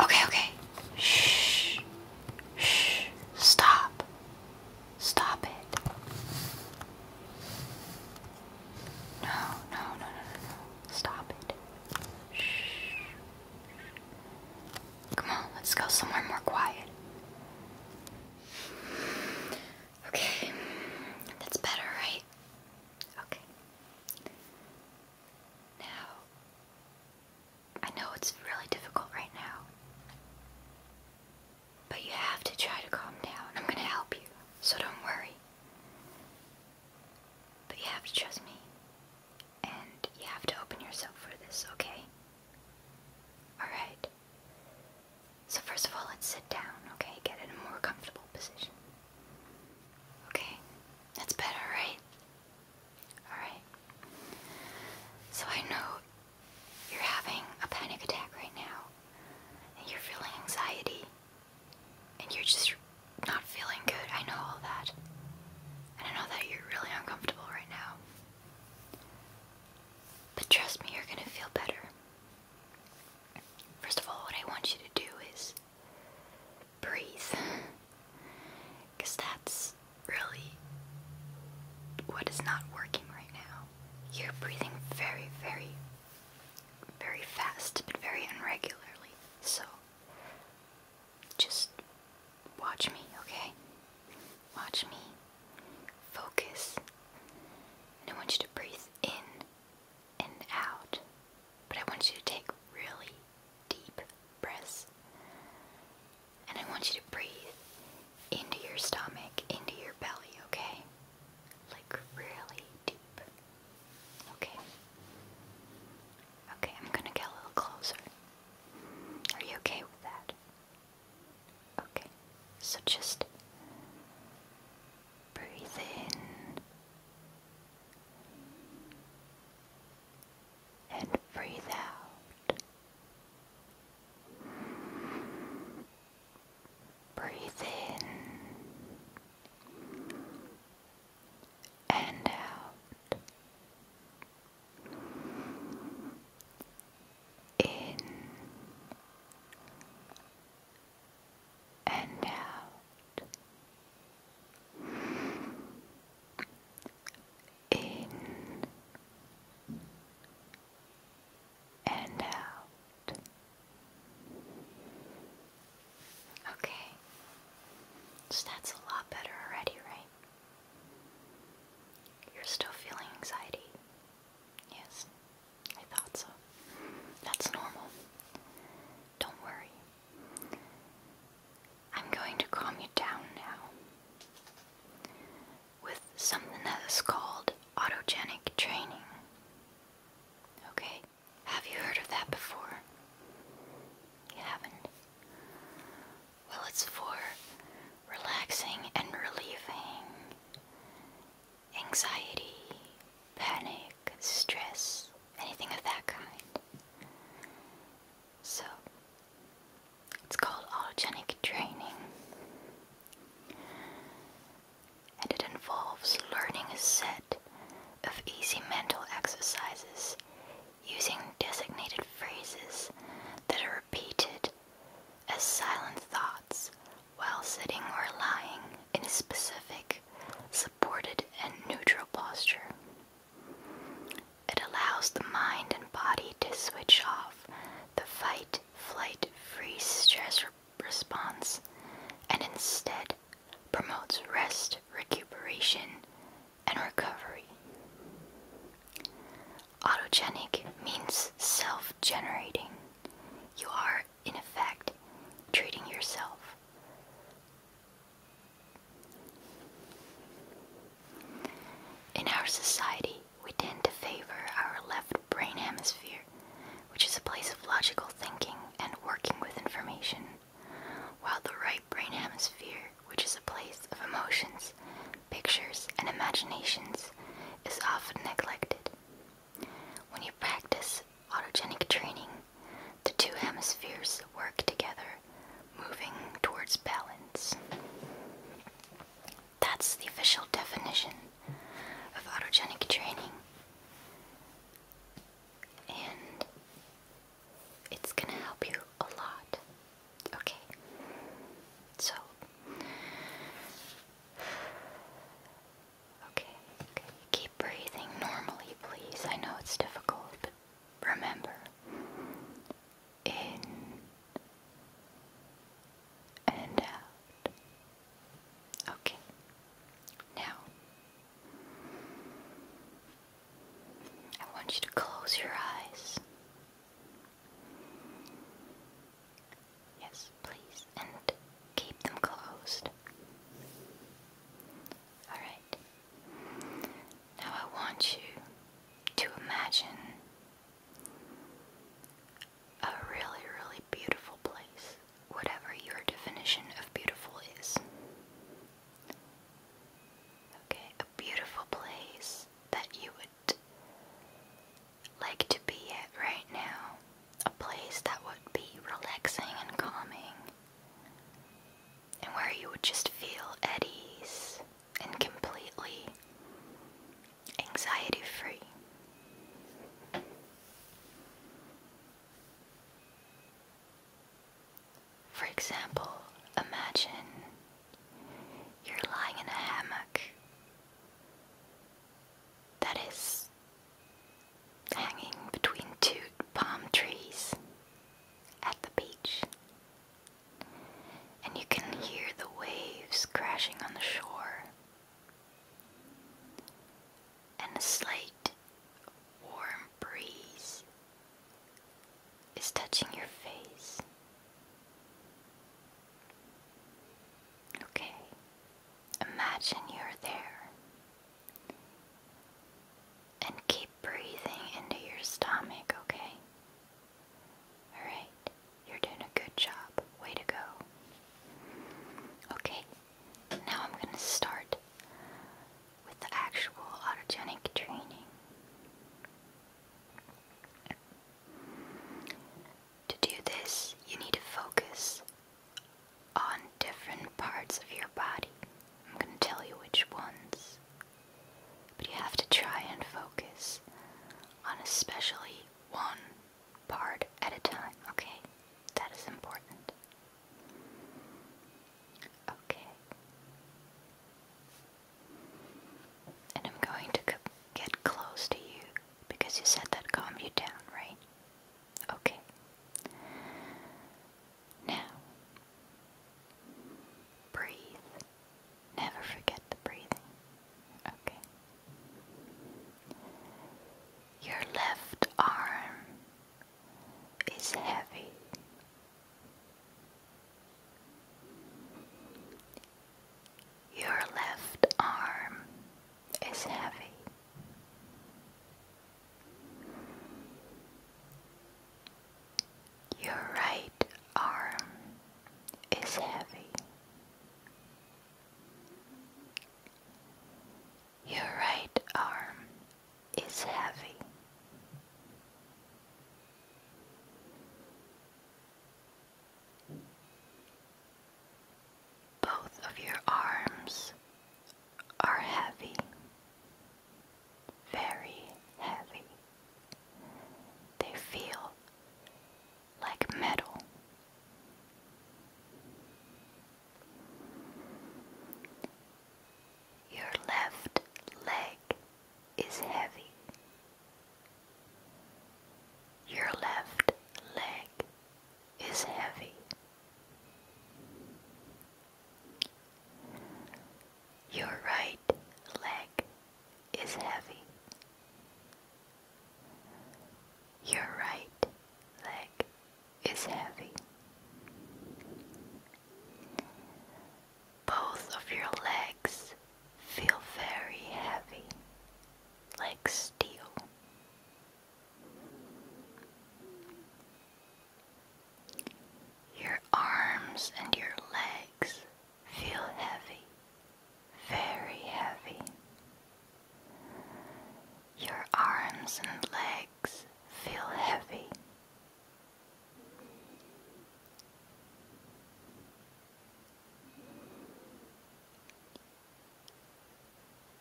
Okay, okay. Shh. Shh. Stop. Stop it. No, no, no, no, no, Stop it. Shh. Come on, let's go somewhere more quiet. Okay. That's better, right? Okay. Now, I know it's really difficult right now, but you have to try to calm down. I'm going to help you, so don't worry. But you have to trust me, and you have to open yourself for this, okay? Alright. So, first of all, let's sit down, okay? Get in a more comfortable position. Okay? That's better, right? Alright. So I know you're having a panic attack right now, and you're feeling anxiety, and you're just not feeling good. I know all that. And I know that you're really uncomfortable right now. But trust me, you're gonna feel better. First of all, what I want you to do is breathe. Because that's really what is not working right now. You're breathing very, very, very fast, but very irregularly. So, just watch me, okay? Watch me. Focus. And I want you to breathe in and out. But I want you to take really deep breaths. And I want you to breathe into your stomach, into your belly, okay? Like really deep. Okay. Okay, I'm gonna get a little closer. Are you okay with that? Okay, so just breathe in and breathe out. Breathe in and out. In and out in and out. Okay, so that's a lot better already, right? You're still feeling anxiety. Yes, I thought so. That's normal. Don't worry. I'm going to calm you down now with something that is called autogenic training. Okay? Have you heard of that before? You haven't? Well, it's for relaxing and relieving anxiety, panic, stress, anything of that kind. So, it's called autogenic training, and it involves learning a set of easy mental exercises using designated phrases that are repeated as silent thoughts while sitting or lying in a specific, supported, and neutral posture. It allows the mind and body to switch off the fight, flight, freeze, stress response and instead promotes rest, recuperation, and recovery. Autogenic means self generating. You are, in effect, treating yourself. In our society, we tend to favor our left brain hemisphere, which is a place of logical thinking and working with information, while the right brain hemisphere, which is a place of emotions, pictures, and imaginations, is often neglected. When you practice autogenic training, the two hemispheres work together, moving towards balance. That's the official definition of autogenic training. And it's going to help you a lot. Okay. So. Okay, okay. Keep breathing normally, please. I know it's difficult, but remember in and out. Okay, now I want you to close your eyes. Yes, please, and keep them closed. All right. Now I want you to imagine a really, really beautiful place, whatever your definition of beautiful is. Okay, a beautiful place that you would like to be at right now. A place that would be relaxing and calming and where you would just feel at ease and completely anxiety free. For example, imagine you're lying in a hammock that is hanging between two palm trees at the beach. And you can hear the waves crashing on the shore. And a slight warm breeze is touching your face. Okay, imagine you're there and keep breathing into your stomach, okay? Alright, you're doing a good job. Way to go. Okay, now I'm going to start with the actual autogenic training. To do this, you need to focus on different parts of your body. I'm going to tell you which ones. But you have to try and focus on especially one part at a time, okay? That is important. Okay. And I'm going to get close to you because you said that calmed you down, right? Okay. Now, breathe. Never forget the breathing. Okay. Your left arm is heavy. Your left arm is heavy. Your right arm is heavy. Your right arm is heavy. Both of your arms are heavy, very heavy. They feel like metal. Your left leg is heavy. Your left leg is heavy. Your right leg is heavy. Your right leg is heavy. Both of your legs feel very heavy, like steel. Your arms and your legs feel heavy, very heavy. Your arms and legs feel heavy.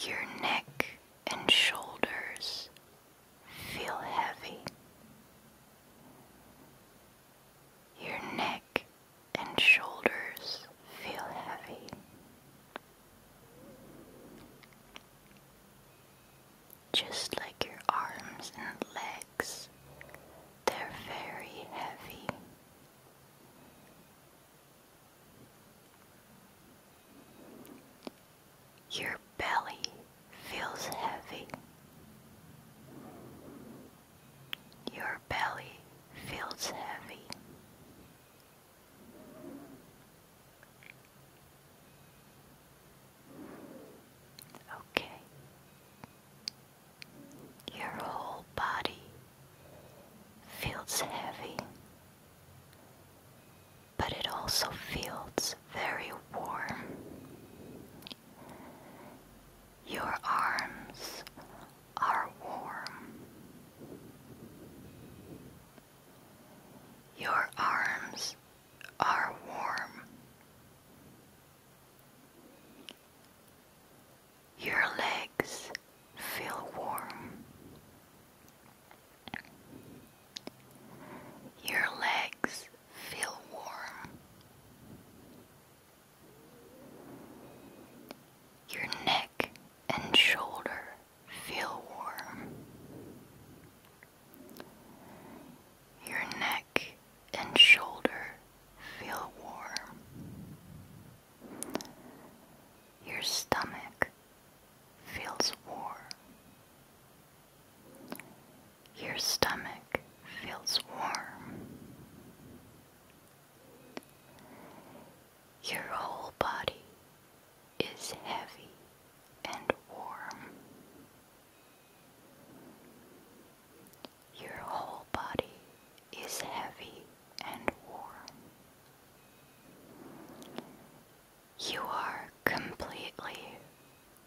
Your neck and shoulders feel heavy. Your neck and shoulders feel heavy. Just like your arms and legs, they're very heavy. Your belly feels heavy. Your belly feels heavy. Okay. Your whole body feels heavy but it also feels very warm. Your arms are warm. Your arms are warm. Your legs feel warm. Your legs feel warm. Your neck and shoulder feel warm. Your neck and shoulder feel warm. Your stomach feels warm. Your stomach feels warm. Your whole body is heavy and warm. Your whole body is heavy and warm. You are completely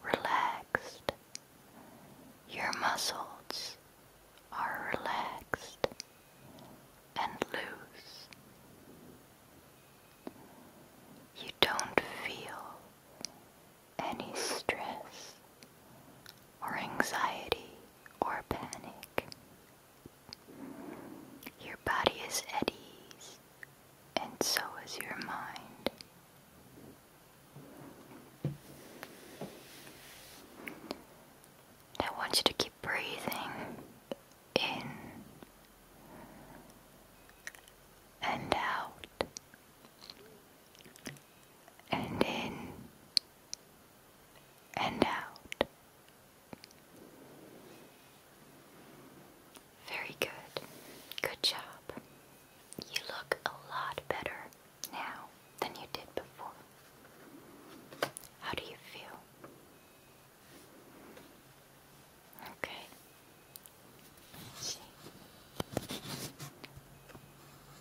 relaxed. Your muscles are relaxed and loose. You don't feel any stress or anxiety or panic. Your body is at ease and so is your mind. I want you to keep breathing in and out and in and out very good. Good job. You look a lot better now than you did before. How do you feel? Okay. see.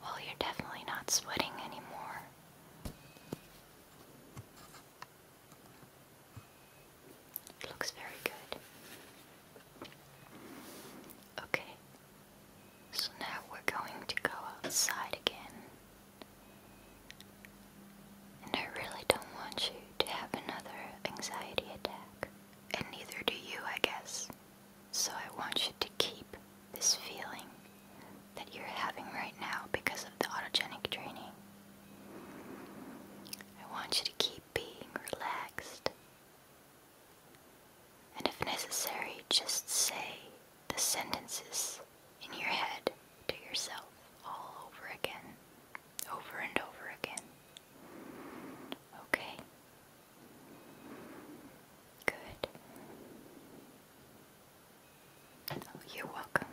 Well, you're definitely not sweating anymore. It looks very good. Okay, so now we're going to go outside again. And I really don't want you to have another anxiety attack. And neither do you, I guess. So I want you to keep this feeling that you're having right now because of the autogenic training. I want you to keep being relaxed. And if necessary, just say the sentences in your head to yourself all over again, over and over again. Okay? Good. Oh, you're welcome.